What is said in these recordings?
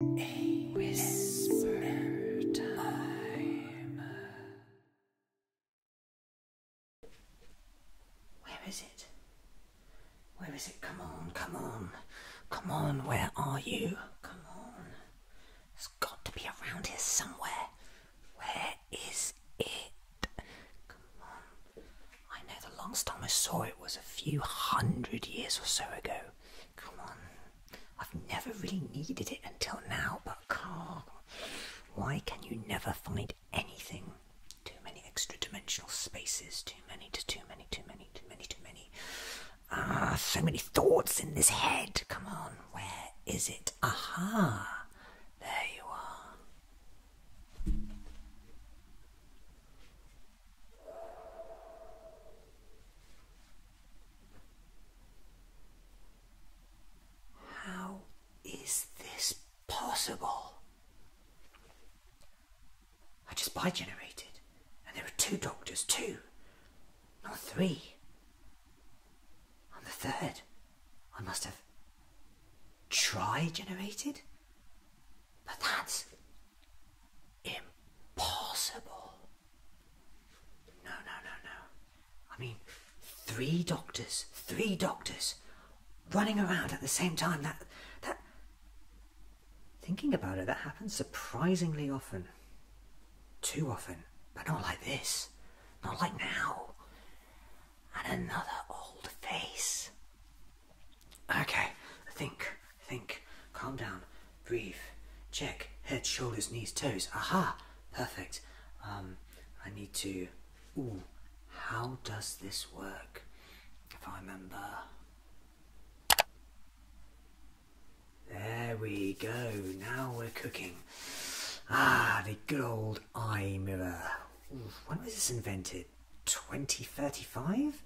A whisper time. Where is it? Where is it? Come on, come on. Come on, where are you? Come on. It's got to be around here somewhere. Where is it? Come on. I know the last time Longstomers saw it was a few hundred years or so ago. Come on. I've never really needed it until now, but Carl, why can you never find anything? Too many extra dimensional spaces, too many, to too many, too many, too many, too many. Ah, so many thoughts in this head. Come on, where is it? Aha! There you are. How is this possible? I just bi generated, and there are two doctors, too, not three. the third. I must have tri generated? But that's Impossible. No, no, no, no. I mean, three doctors, three doctors running around at the same time. That, that. Thinking about it, that happens surprisingly often. Too often, but not like this. Not like now. And another old face. Okay, I think. Think. Calm down. Breathe. Check. Head, shoulders, knees, toes. Aha! Perfect. Um, I need to. Ooh, how does this work? If I remember. There we go. Now we're cooking. Ah, the good old eye mirror. when was this invented? 2035?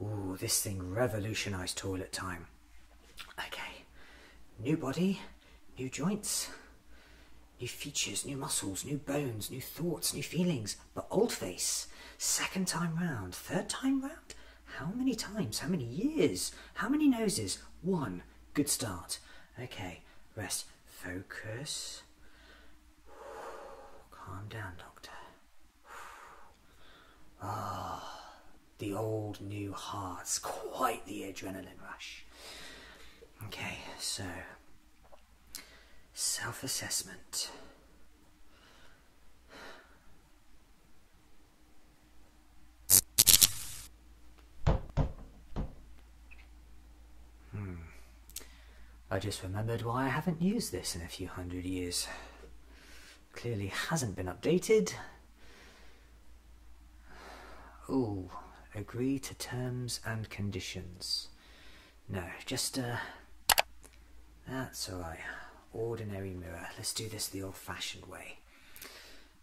Ooh, this thing revolutionized toilet time. Okay, new body, new joints, new features, new muscles, new bones, new thoughts, new feelings, but old face. Second time round, third time round? How many times? How many years? How many noses? One. Good start. Okay, rest. Focus. Calm down, Doctor. Ah, the old new heart's quite the adrenaline rush. Okay, so self assessment. Hmm. I just remembered why I haven't used this in a few hundred years. Clearly hasn't been updated. Oh, agree to terms and conditions. No, just, uh, that's alright. Ordinary mirror. Let's do this the old-fashioned way.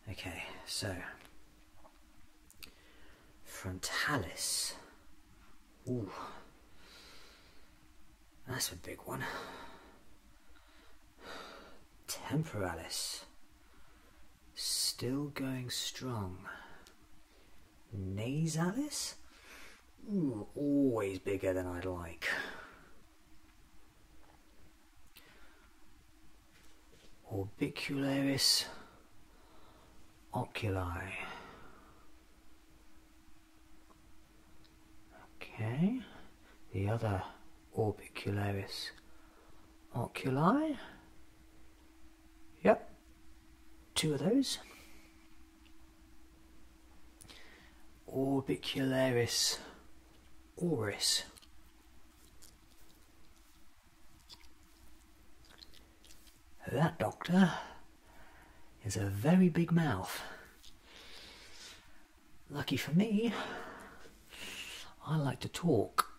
Okay, so, frontalis. Ooh. That's a big one. Temporalis. Still going strong. Nasalis? always bigger than I'd like. Orbicularis oculi. Okay, the other orbicularis oculi. Yep, two of those. Orbicularis oris. That doctor is a very big mouth. Lucky for me, I like to talk.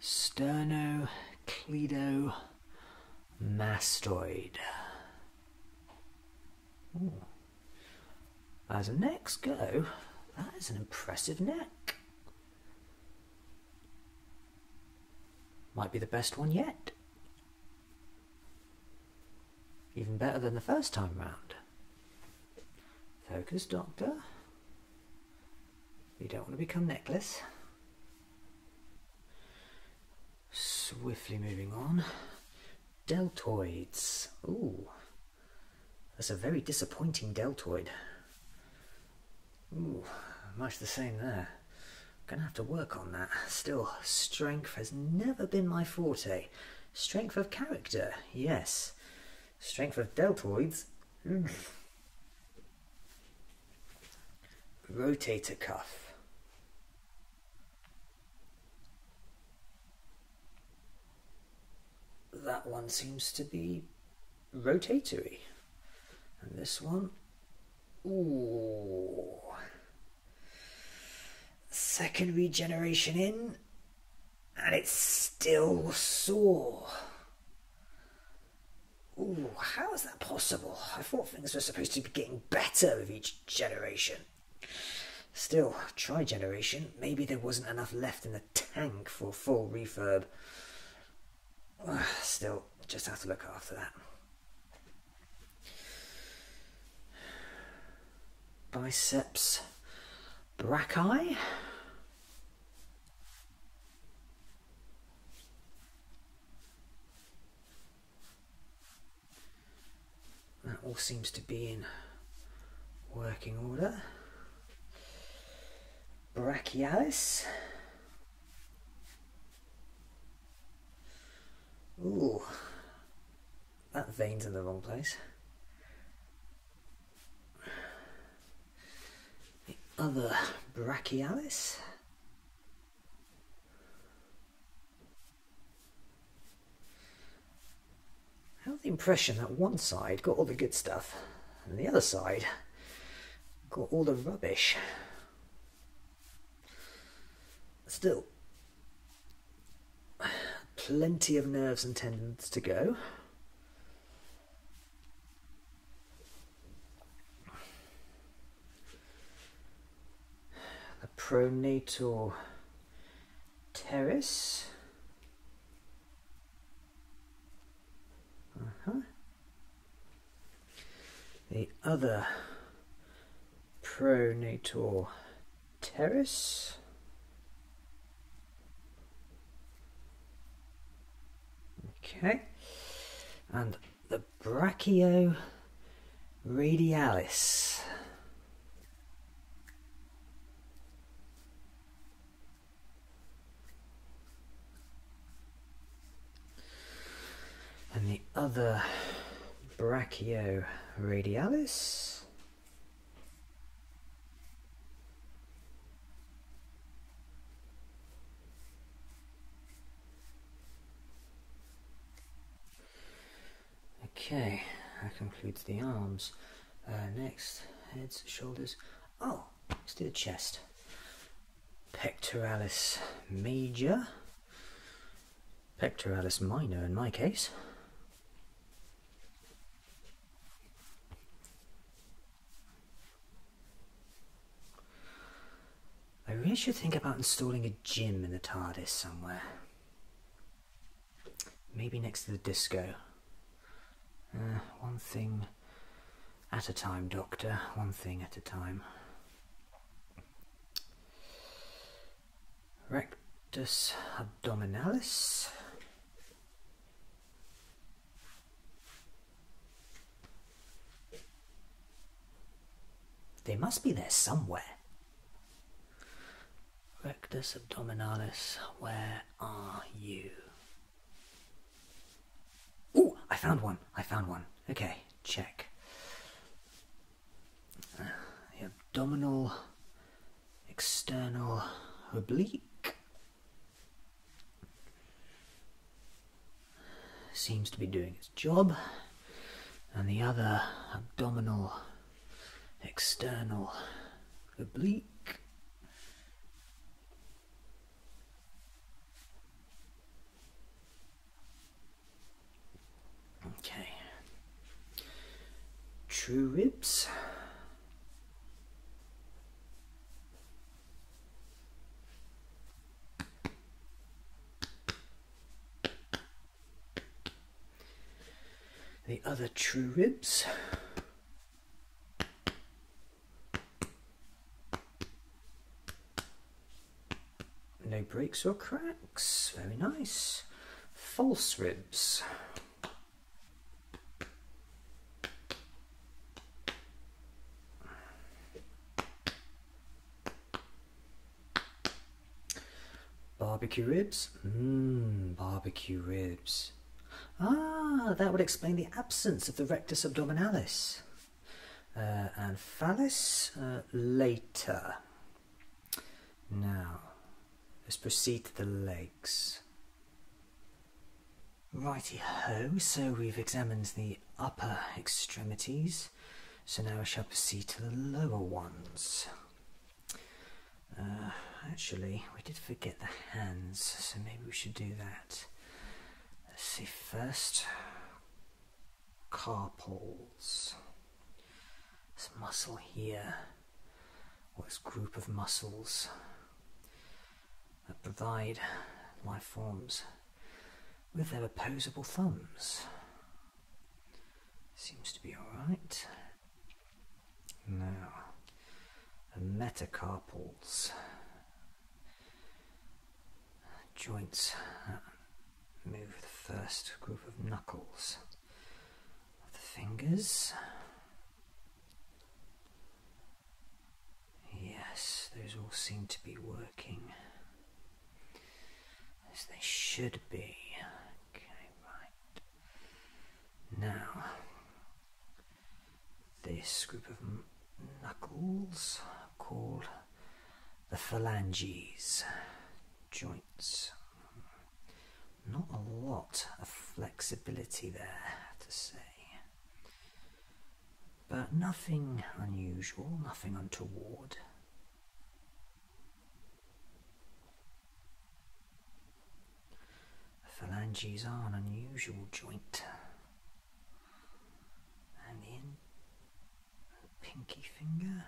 Sterno, Sternocleidomastoid. mastoid. As the necks go, that is an impressive neck. Might be the best one yet. Even better than the first time round. Focus, Doctor. We don't want to become necklace. Swiftly moving on. Deltoids. Ooh. That's a very disappointing deltoid. Ooh, much the same there gonna have to work on that. Still, strength has never been my forte. Strength of character, yes. Strength of deltoids. Mm. Rotator cuff. That one seems to be rotatory. And this one, ooh, Second regeneration in, and it's still sore. Ooh, how is that possible? I thought things were supposed to be getting better with each generation. Still, tri generation. Maybe there wasn't enough left in the tank for full refurb. Still, just have to look after that biceps brachii. That all seems to be in working order. Brachialis. Ooh, that vein's in the wrong place. The other brachialis. I have the impression that one side got all the good stuff and the other side got all the rubbish. Still, plenty of nerves and tendons to go. The pronatal terrace. Uh-huh. The other pronator terrace. Okay, and the brachio radialis and the other brachioradialis. Okay, that concludes the arms. Uh, next, heads, shoulders. Oh, let's do the chest. Pectoralis major. Pectoralis minor in my case. I really should think about installing a gym in the TARDIS somewhere. Maybe next to the disco. Uh, one thing at a time, Doctor. One thing at a time rectus abdominalis. They must be there somewhere. Rectus abdominalis, where are you? Oh, I found one. I found one. Okay check. the abdominal, external, oblique seems to be doing its job, and the other abdominal, external, oblique. Okay. True ribs. The other true ribs. No breaks or cracks. Very nice. False ribs. Barbecue ribs? Mmm, barbecue ribs. Ah, that would explain the absence of the rectus abdominalis. Uh, and phallus uh, later. Now, let's proceed to the legs. Righty ho, so we've examined the upper extremities, so now we shall proceed to the lower ones. Uh, actually, we did forget the hands, so maybe we should do that. Let's see first carpals. This muscle here, or this group of muscles that provide life forms with their opposable thumbs. Seems to be alright. Now, the metacarpals joints. Move the first group of knuckles of the fingers. Yes, those all seem to be working as they should be. Okay, right. Now, this group of knuckles called the phalanges, joints. Not a lot of flexibility there, to say. But nothing unusual, nothing untoward. phalanges are an unusual joint. And the pinky finger.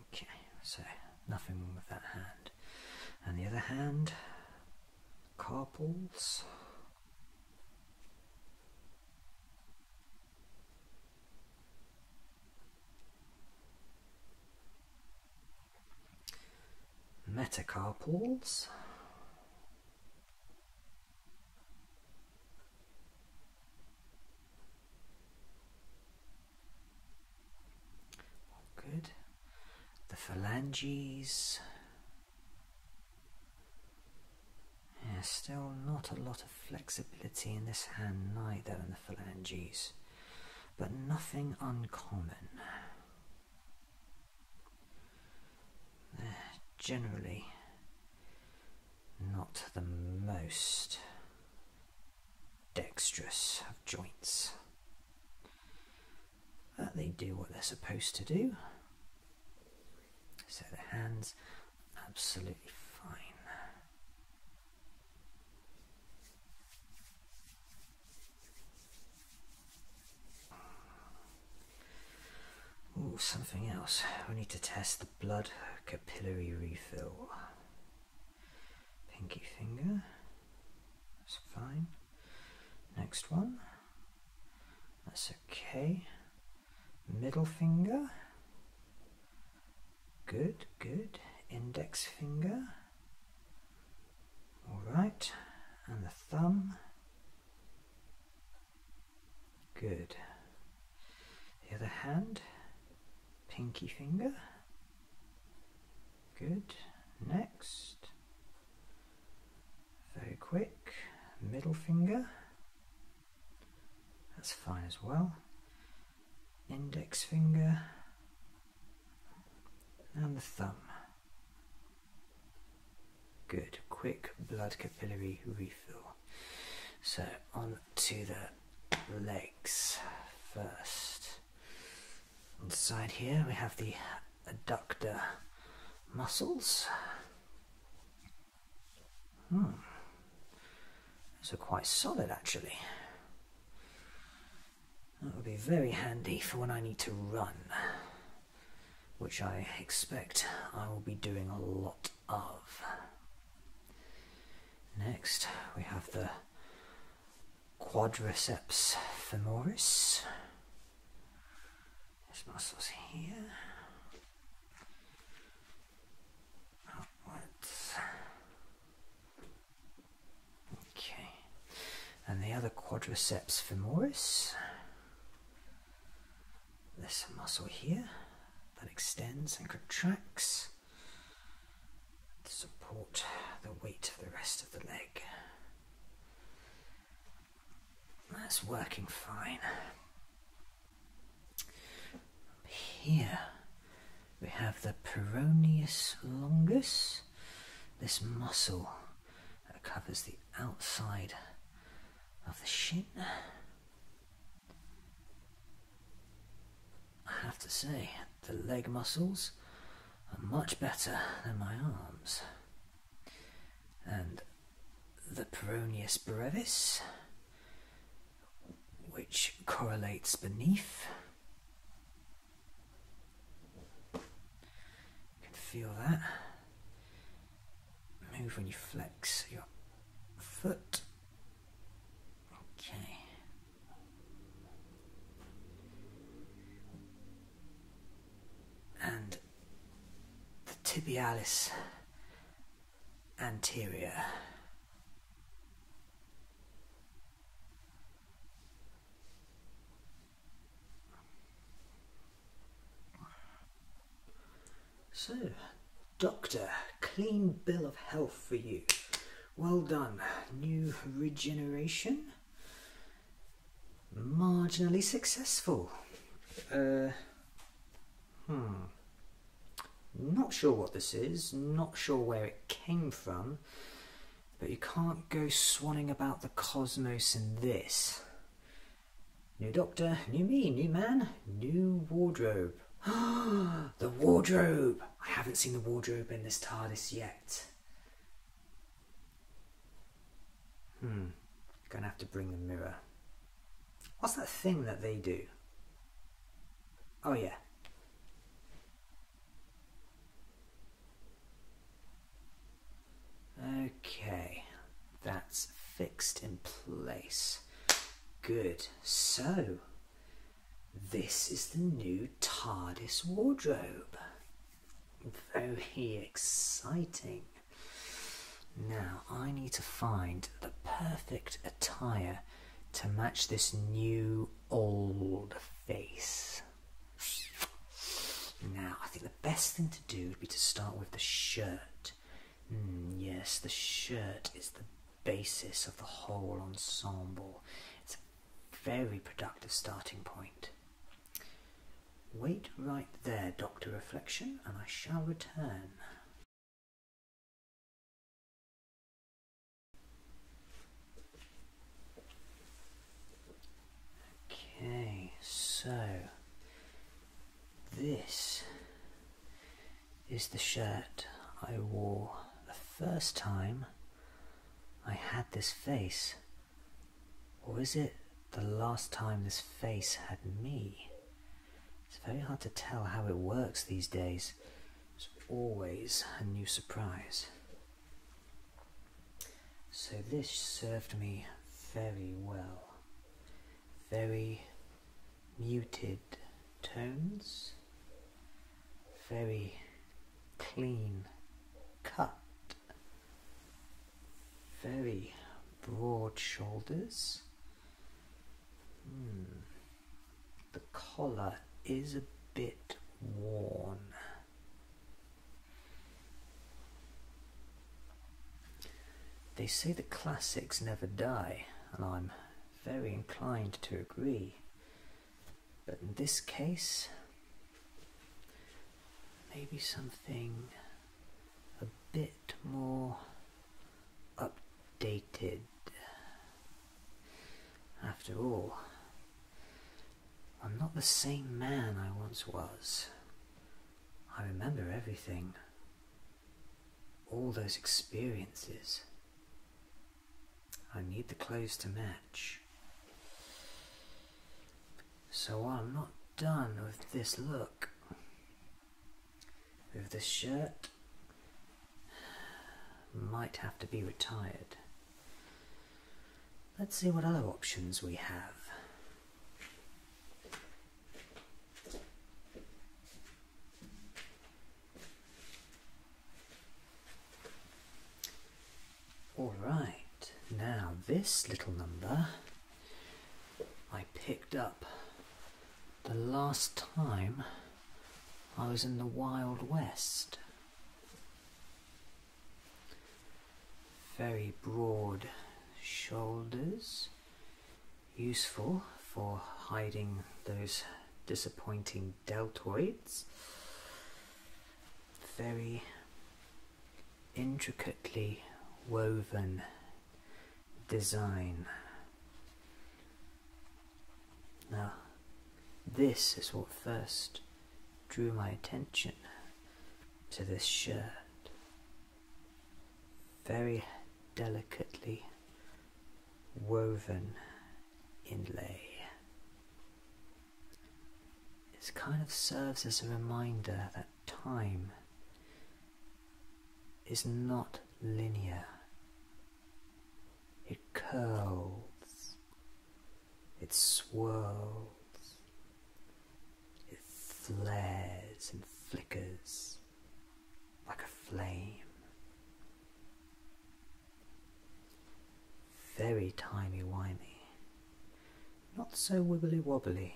Okay, so nothing wrong with that hand. And the other hand, carpals. Metacarpals good. The phalanges. Yeah, still not a lot of flexibility in this hand neither in the phalanges, but nothing uncommon. They're generally not the most dexterous of joints. But they do what they're supposed to do. So the hands absolutely fine. Ooh, something else. We need to test the blood capillary refill. Pinky finger. That's fine. Next one. That's okay. Middle finger. Good, good. Index finger. Alright. And the thumb. Good. The other hand, pinky finger. Good. Next. Very quick. Middle finger. That's fine as well. Index finger. And the thumb. Good, quick blood capillary refill. So on to the legs first. Inside here we have the adductor muscles. Hmm. are quite solid actually. That would be very handy for when I need to run which I expect I will be doing a lot of. Next, we have the quadriceps femoris. This muscle's here. Upwards. Okay. And the other quadriceps femoris this muscle here that extends and contracts to support the weight of the rest of the leg. That's working fine. Here we have the peroneus longus, this muscle that covers the outside of the shin. I have to say, the leg muscles are much better than my arms. And the peroneus brevis, which correlates beneath, you can feel that move when you flex your foot. Okay. And the tibialis anterior. So, Doctor, clean bill of health for you. Well done. New regeneration. Marginally successful. Uh, hmm. Not sure what this is, not sure where it came from, but you can't go swanning about the cosmos in this. New doctor, new me, new man, new wardrobe. the wardrobe! I haven't seen the wardrobe in this TARDIS yet. Hmm, gonna have to bring the mirror. What's that thing that they do? Oh, yeah. Okay, that's fixed in place. Good. So, this is the new TARDIS wardrobe. Very exciting. Now, I need to find the perfect attire to match this new old face. Now, I think best thing to do would be to start with the shirt. Hmm, yes, the shirt is the basis of the whole ensemble. It's a very productive starting point. Wait right there, Dr. Reflection, and I shall return. Okay, so this is the shirt I wore the first time I had this face. Or is it the last time this face had me? It's very hard to tell how it works these days. It's always a new surprise. So this served me very well. Very muted tones, very clean cut, very broad shoulders. Hmm. The collar is a bit worn. They say the classics never die, and I'm very inclined to agree. But in this case, maybe something a bit more updated. After all, I'm not the same man I once was. I remember everything. All those experiences. I need the clothes to match. So I'm not done with this look. With this shirt, might have to be retired. Let's see what other options we have. All right, now this little number I picked up the last time I was in the Wild West. Very broad shoulders, useful for hiding those disappointing deltoids. Very intricately woven design. Now, this is what first drew my attention to this shirt, very delicately woven inlay. This kind of serves as a reminder that time is not linear. It curls, it swirls, it flares and flickers like a flame. Very tiny, wimey not so wibbly-wobbly,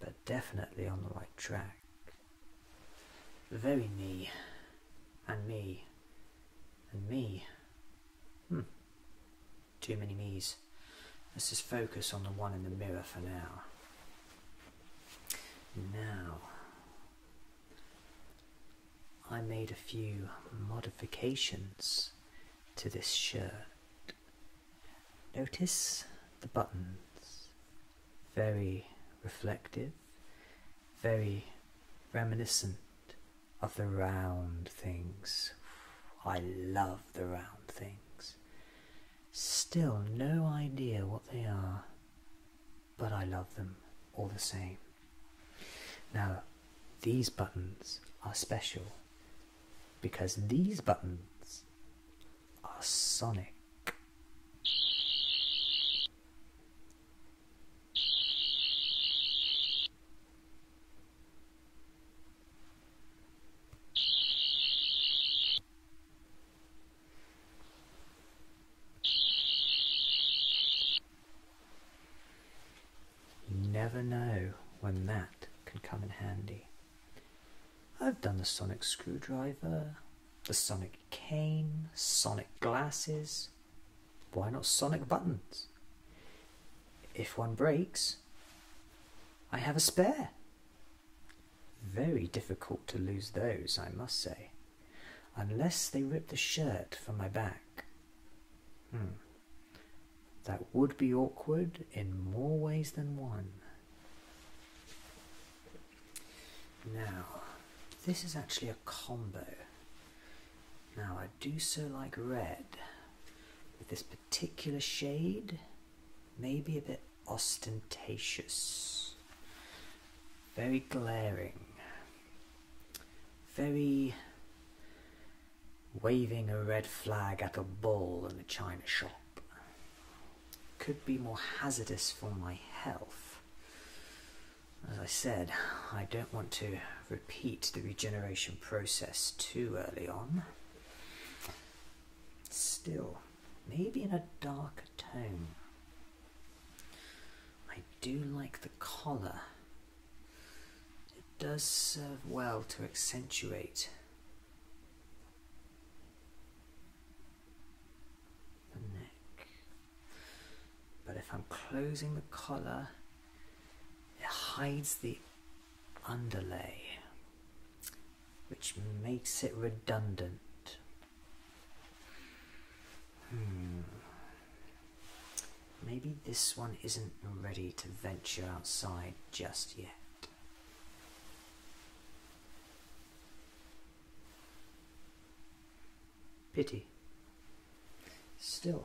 but definitely on the right track. Very me, and me, and me. Hmm. Too many me's. Let's just focus on the one in the mirror for now. Now, I made a few modifications to this shirt. Notice the buttons. Very reflective, very reminiscent of the round things. I love the round things. Still no idea what they are, but I love them all the same. Now, these buttons are special because these buttons are sonic never know when that can come in handy. I've done the sonic screwdriver, the sonic cane, sonic glasses, why not sonic buttons? If one breaks, I have a spare. Very difficult to lose those, I must say, unless they rip the shirt from my back. Hmm. That would be awkward in more ways than one. Now, this is actually a combo. Now, I do so like red, this particular shade, may be a bit ostentatious, very glaring, very waving a red flag at a bull in a china shop. Could be more hazardous for my health. As I said, I don't want to repeat the regeneration process too early on. Still, maybe in a darker tone. I do like the collar. It does serve well to accentuate the neck. But if I'm closing the collar, it hides the underlay, which makes it redundant. Hmm. Maybe this one isn't ready to venture outside just yet. Pity. Still,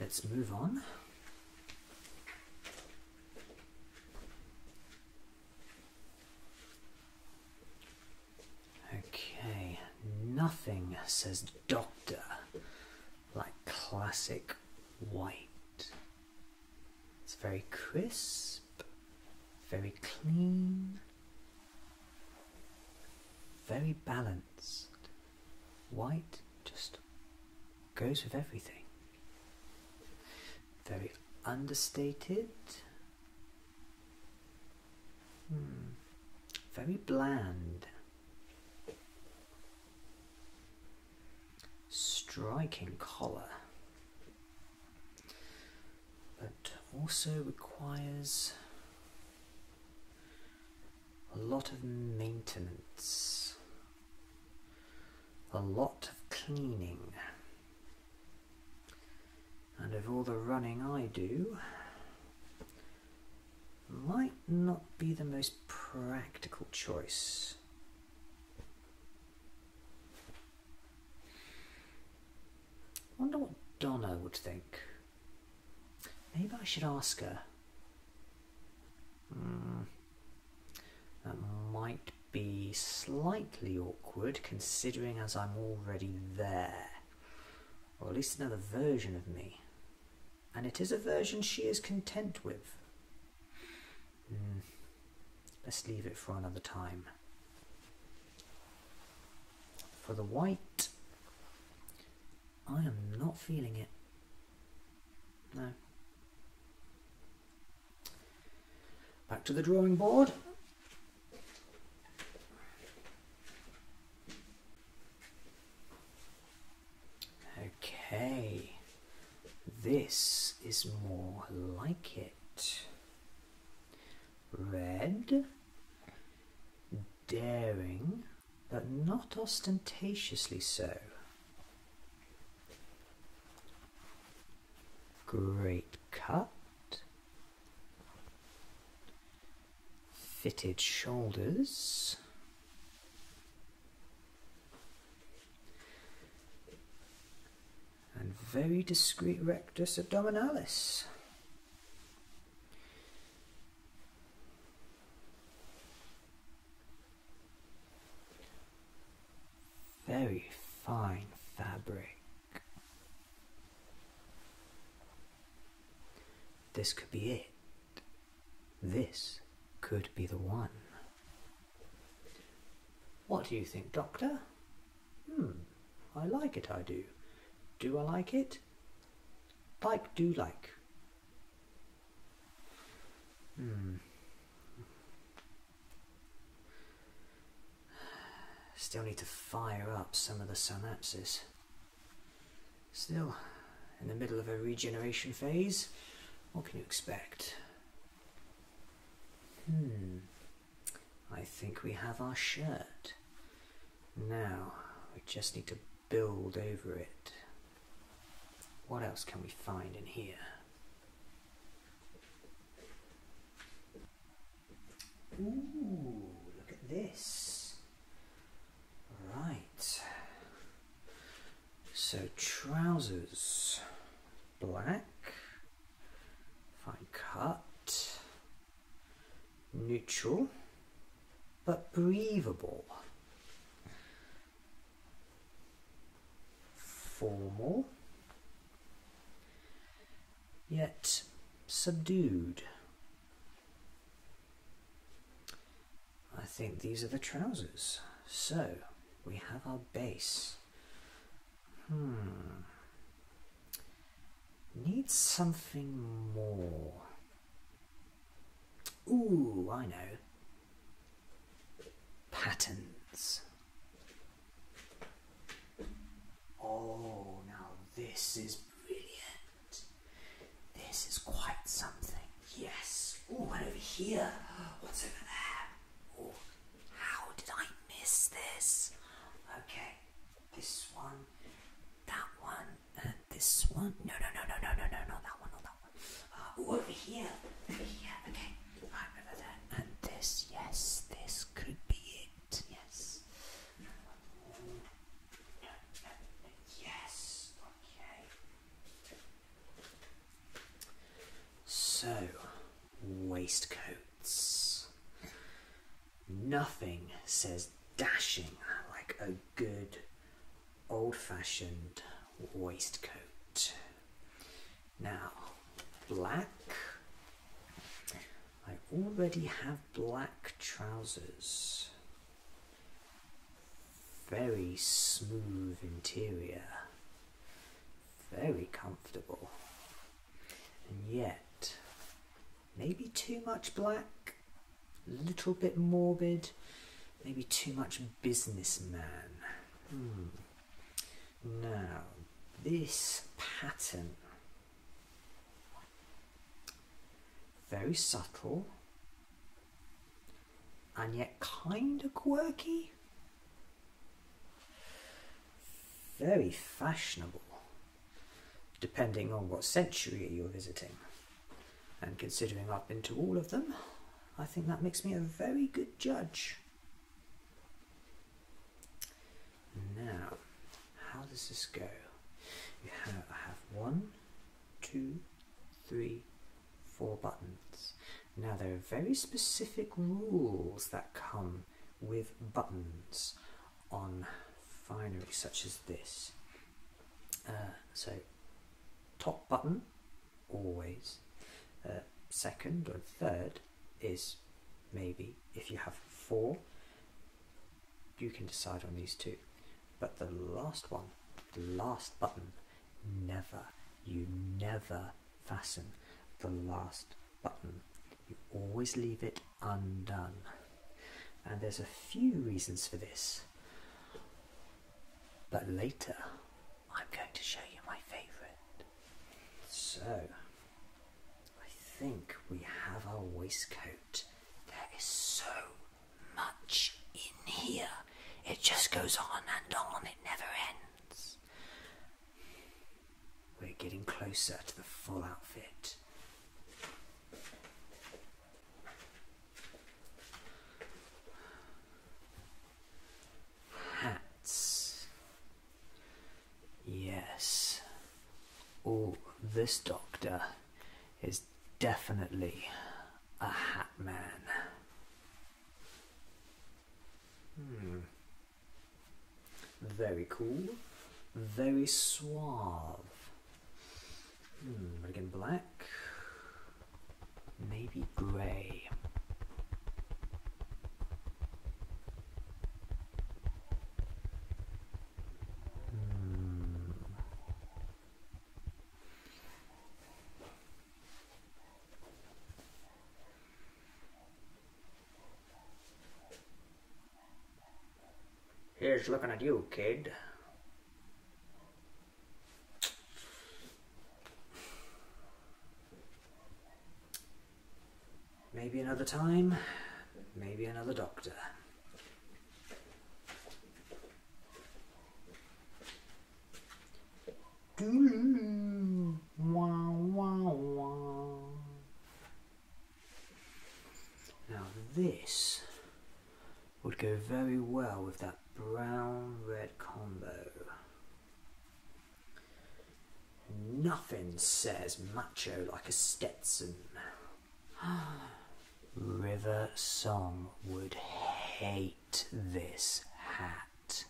let's move on. Okay, nothing says doctor like classic white. It's very crisp, very clean, very balanced. White just goes with everything. Very understated. Hmm. Very bland. Striking collar. But also requires a lot of maintenance, a lot of cleaning, and of all the running I do, might not be the most practical choice. I wonder what Donna would think. Maybe I should ask her. Hmm. that might be slightly awkward considering as I'm already there. Or at least another version of me. And it is a version she is content with. Hmm. let's leave it for another time. For the white, I am not feeling it. No. Back to the drawing board. Okay, this is more like it. Red, daring, but not ostentatiously so. Great cut, fitted shoulders. And very discreet rectus abdominalis. Very fine fabric. This could be it. This could be the one. What do you think, Doctor? Hmm, I like it, I do. Do I like it? Like do like. Hmm. Still need to fire up some of the synapses. Still, in the middle of a regeneration phase, what can you expect? Hmm. I think we have our shirt. Now, we just need to build over it. What else can we find in here? Ooh, look at this. Right. So trousers, black, fine cut, neutral, but breathable. Formal, yet subdued. I think these are the trousers. So, we have our base. Hmm. Needs something more. Ooh, I know. Patterns. Oh, now this is brilliant. This is quite something. Yes. Ooh, and over here. What's over there? Ooh, how did I miss this? Okay, this one that one, and uh, this one. No, no, no, no, no, no, no, no, that one, not that one. Uh, over here, over here. Okay, right over there, and this. Yes, this could be it. Yes. Yes. Okay. So, waistcoats. Nothing says dashing like a good old fashioned waistcoat. Now, black. I already have black trousers. Very smooth interior. Very comfortable. And yet, maybe too much black, a little bit morbid, maybe too much businessman. Hmm. Now, this pattern, very subtle and yet kind of quirky. Very fashionable depending on what century you're visiting. And considering I've been to all of them, I think that makes me a very good judge. Now, how does this go? You have, I have one, two, three, four buttons. Now there are very specific rules that come with buttons on finery such as this. Uh, so, top button, always. Uh, second or third is maybe. If you have four, you can decide on these two. But the last one, the last button, never, you never fasten the last button. You always leave it undone. And there's a few reasons for this, but later I'm going to show you my favourite. So, I think we have our waistcoat. There is so much in here, it just goes on and on, it never ends. We're getting closer to the full outfit. Hats. Yes. Oh, this doctor is definitely a hat man. Hmm. Very cool. Very suave but hmm, again, black, maybe grey. Hmm. Here's looking at you, kid. Maybe another time, maybe another doctor. Now this would go very well with that brown-red combo. Nothing says macho like a Stetson. River Song would hate this hat,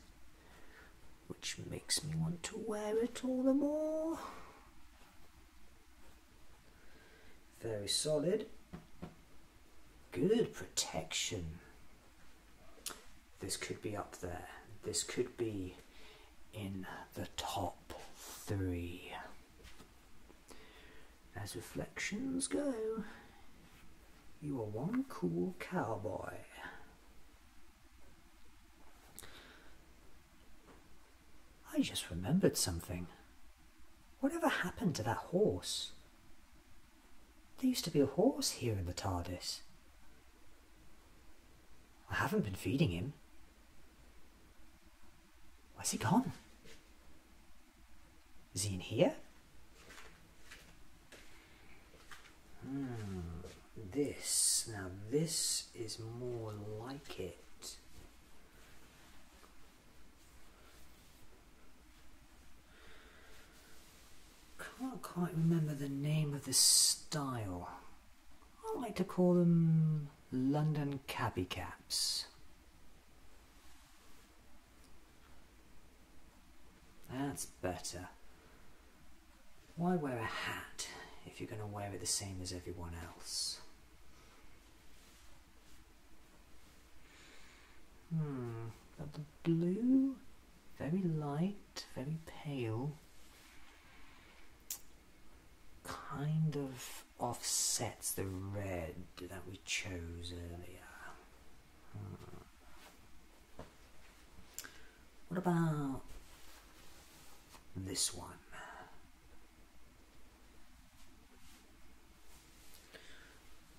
which makes me want to wear it all the more. Very solid. Good protection. This could be up there. This could be in the top three. As reflections go, you are one cool cowboy. I just remembered something. Whatever happened to that horse? There used to be a horse here in the TARDIS. I haven't been feeding him. Where's he gone? Is he in here? Hmm, this. Now, this is more like it. Can't quite remember the name of this style. I like to call them London cabby caps. That's better. Why wear a hat if you're going to wear it the same as everyone else? Hmm, the blue, very light, very pale, kind of offsets the red that we chose earlier. Hmm. What about this one?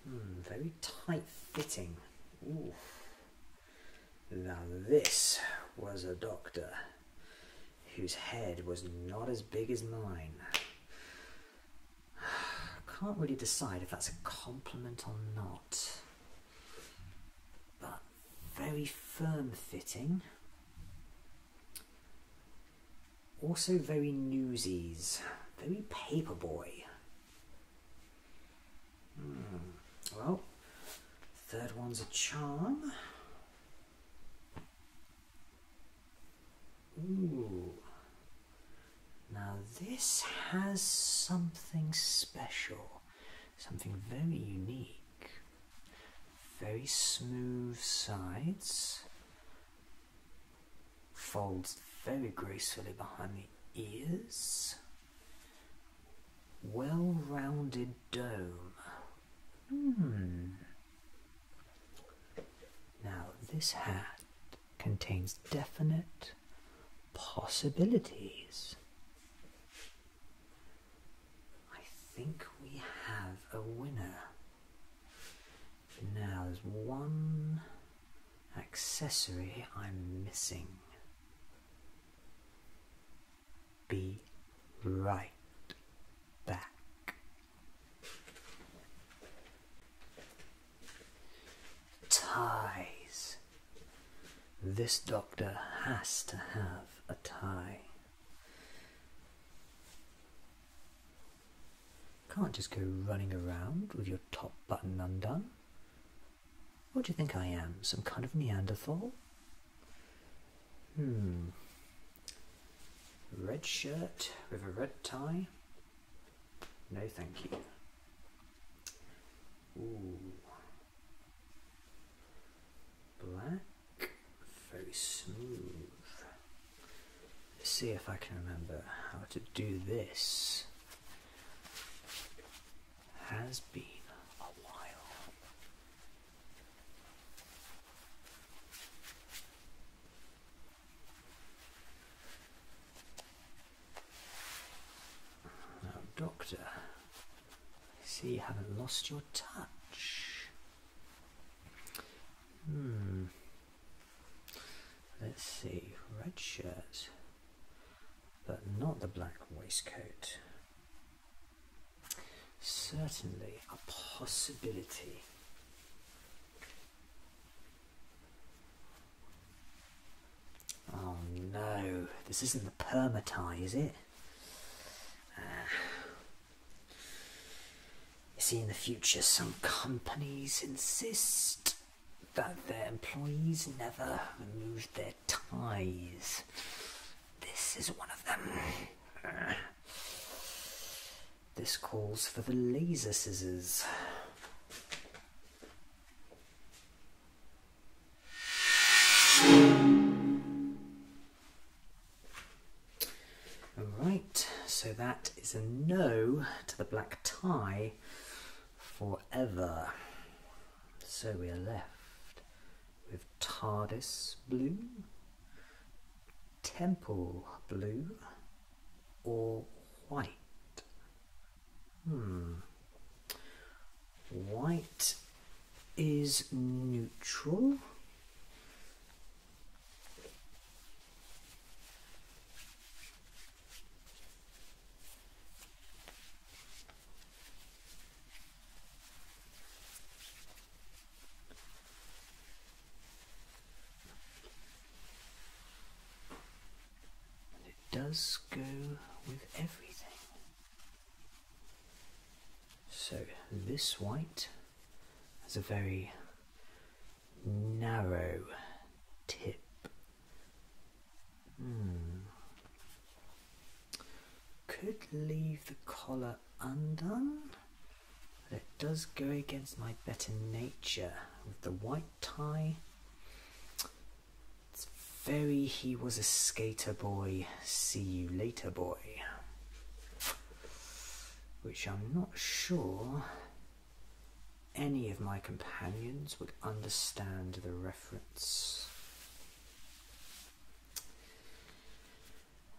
Hmm, very tight fitting. Now this was a doctor whose head was not as big as mine. I can't really decide if that's a compliment or not. But very firm fitting. Also very newsies, very paperboy. Hmm. Well, third one's a charm. Ooh. Now this has something special, something very unique. Very smooth sides. Folds very gracefully behind the ears. Well-rounded dome. Hmm. Now, this hat contains definite possibilities. I think we have a winner. Now there's one accessory I'm missing. Be right back. Ties. This doctor has to have a tie. Can't just go running around with your top button undone. What do you think I am? Some kind of Neanderthal? Hmm. Red shirt with a red tie? No, thank you black, very smooth. Let's see if I can remember how to do this. Has been a while. Doctor, I see you haven't lost your touch. Hmm. Let's see, red shirt, but not the black waistcoat. Certainly a possibility. Oh no, this isn't the perma tie, is it? Ah. You see, in the future, some companies insist that their employees never remove their ties. This is one of them. This calls for the laser scissors. All right, so that is a no to the black tie forever. So we are left with TARDIS blue, temple blue, or white. Hmm. White is neutral. And it does go with everything. So this white has a very narrow tip. Hmm. Could leave the collar undone, but it does go against my better nature with the white tie. It's very he was a skater boy, see you later boy which I'm not sure any of my companions would understand the reference.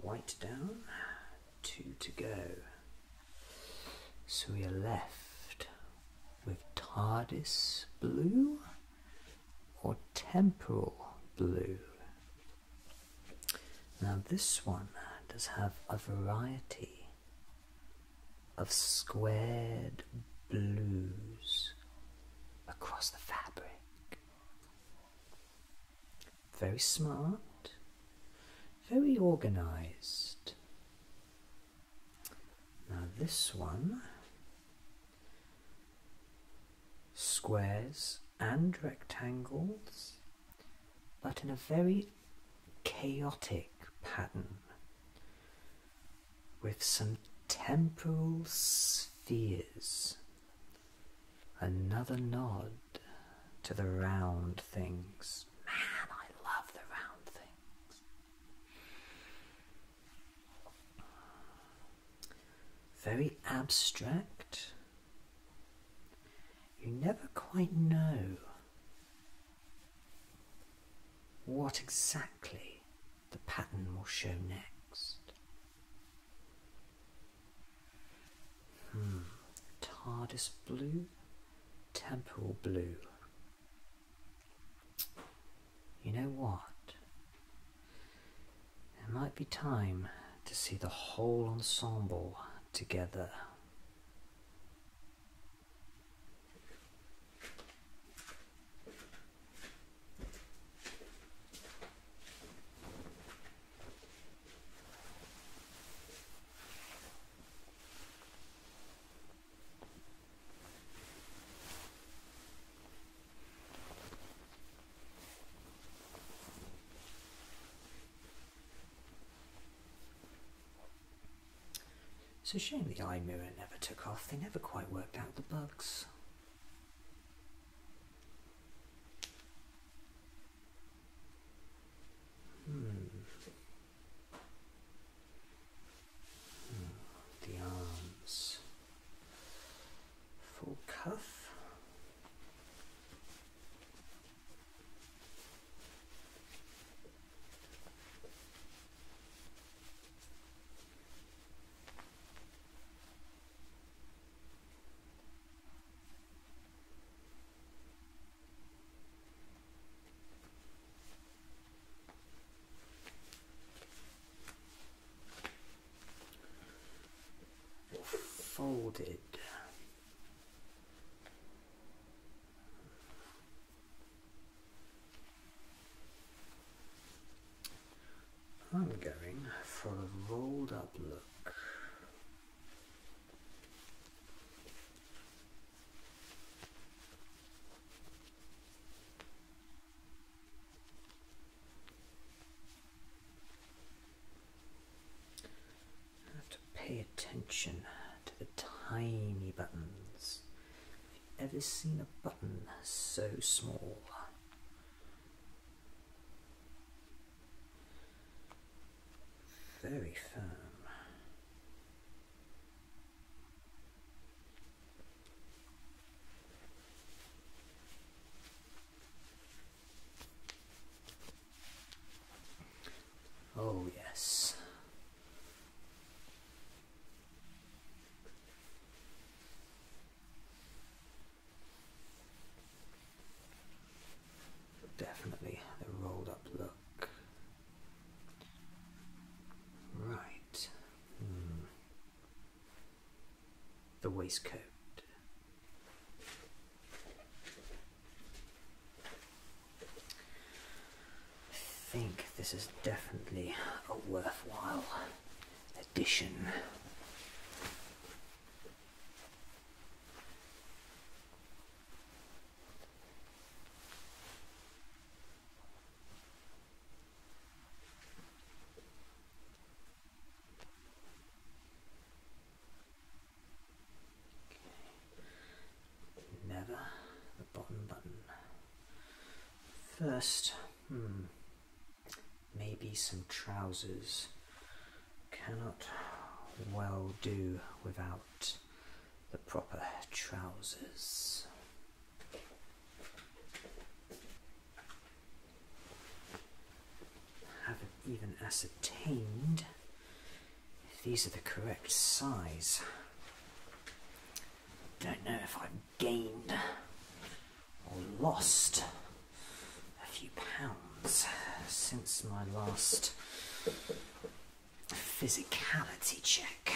White down, two to go. So we are left with TARDIS blue or temporal blue. Now, this one uh, does have a variety of squared blues across the fabric. Very smart, very organized. Now, this one squares and rectangles, but in a very chaotic pattern with some temporal spheres. Another nod to the round things. Man, I love the round things very abstract. You never quite know what exactly the pattern will show next. Hmm. TARDIS blue, Temple blue. You know what? It might be time to see the whole ensemble together. It's a shame the eye mirror never took off, they never quite worked out the bugs. Hmm. hmm. The arms full cuff folded. I'm going for a rolled up look have to pay attention to the tiny buttons. Have you ever seen a button so small? Very firm. Oh, yes. Definitely the rolled up look. Right. Hmm the waistcoat. I think this is definitely a worthwhile addition. Never the bottom button. First, hmm, maybe some trousers. Cannot well do without the proper trousers. Haven't even ascertained if these are the correct size. Don't know if I've gained or lost a few pounds since my last physicality check.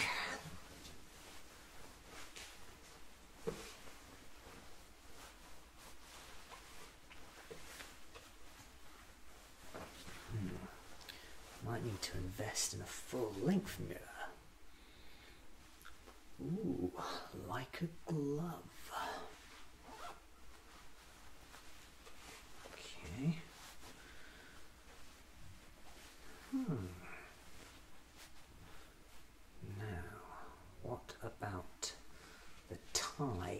Hmm. Might need to invest in a full-length mirror. Ooh, like a glove. Okay. Hmm. Now, what about the tie?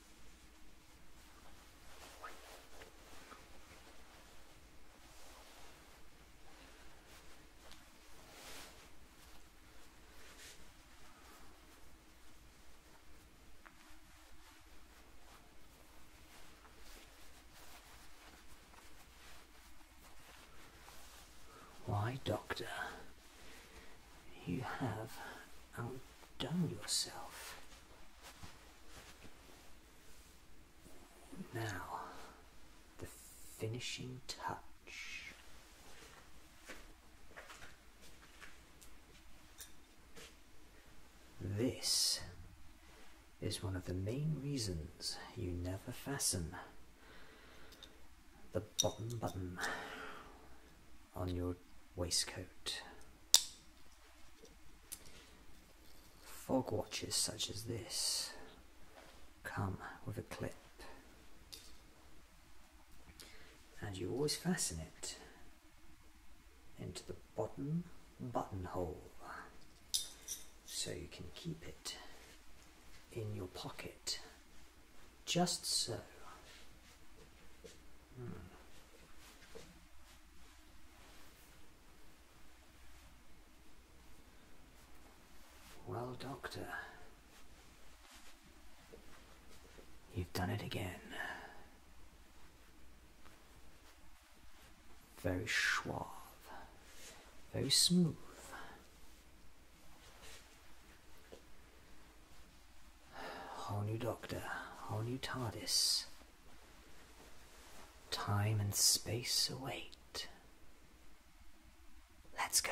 Why, Doctor, you have outdone yourself. Now, the finishing touch. This is one of the main reasons you never fasten the bottom button on your waistcoat. Fog watches such as this come with a clip, and you always fasten it into the bottom buttonhole so you can keep it in your pocket just so. Hmm. Well, Doctor, you've done it again. Very suave, very smooth. Whole new Doctor, whole new TARDIS. Time and space await. Let's go.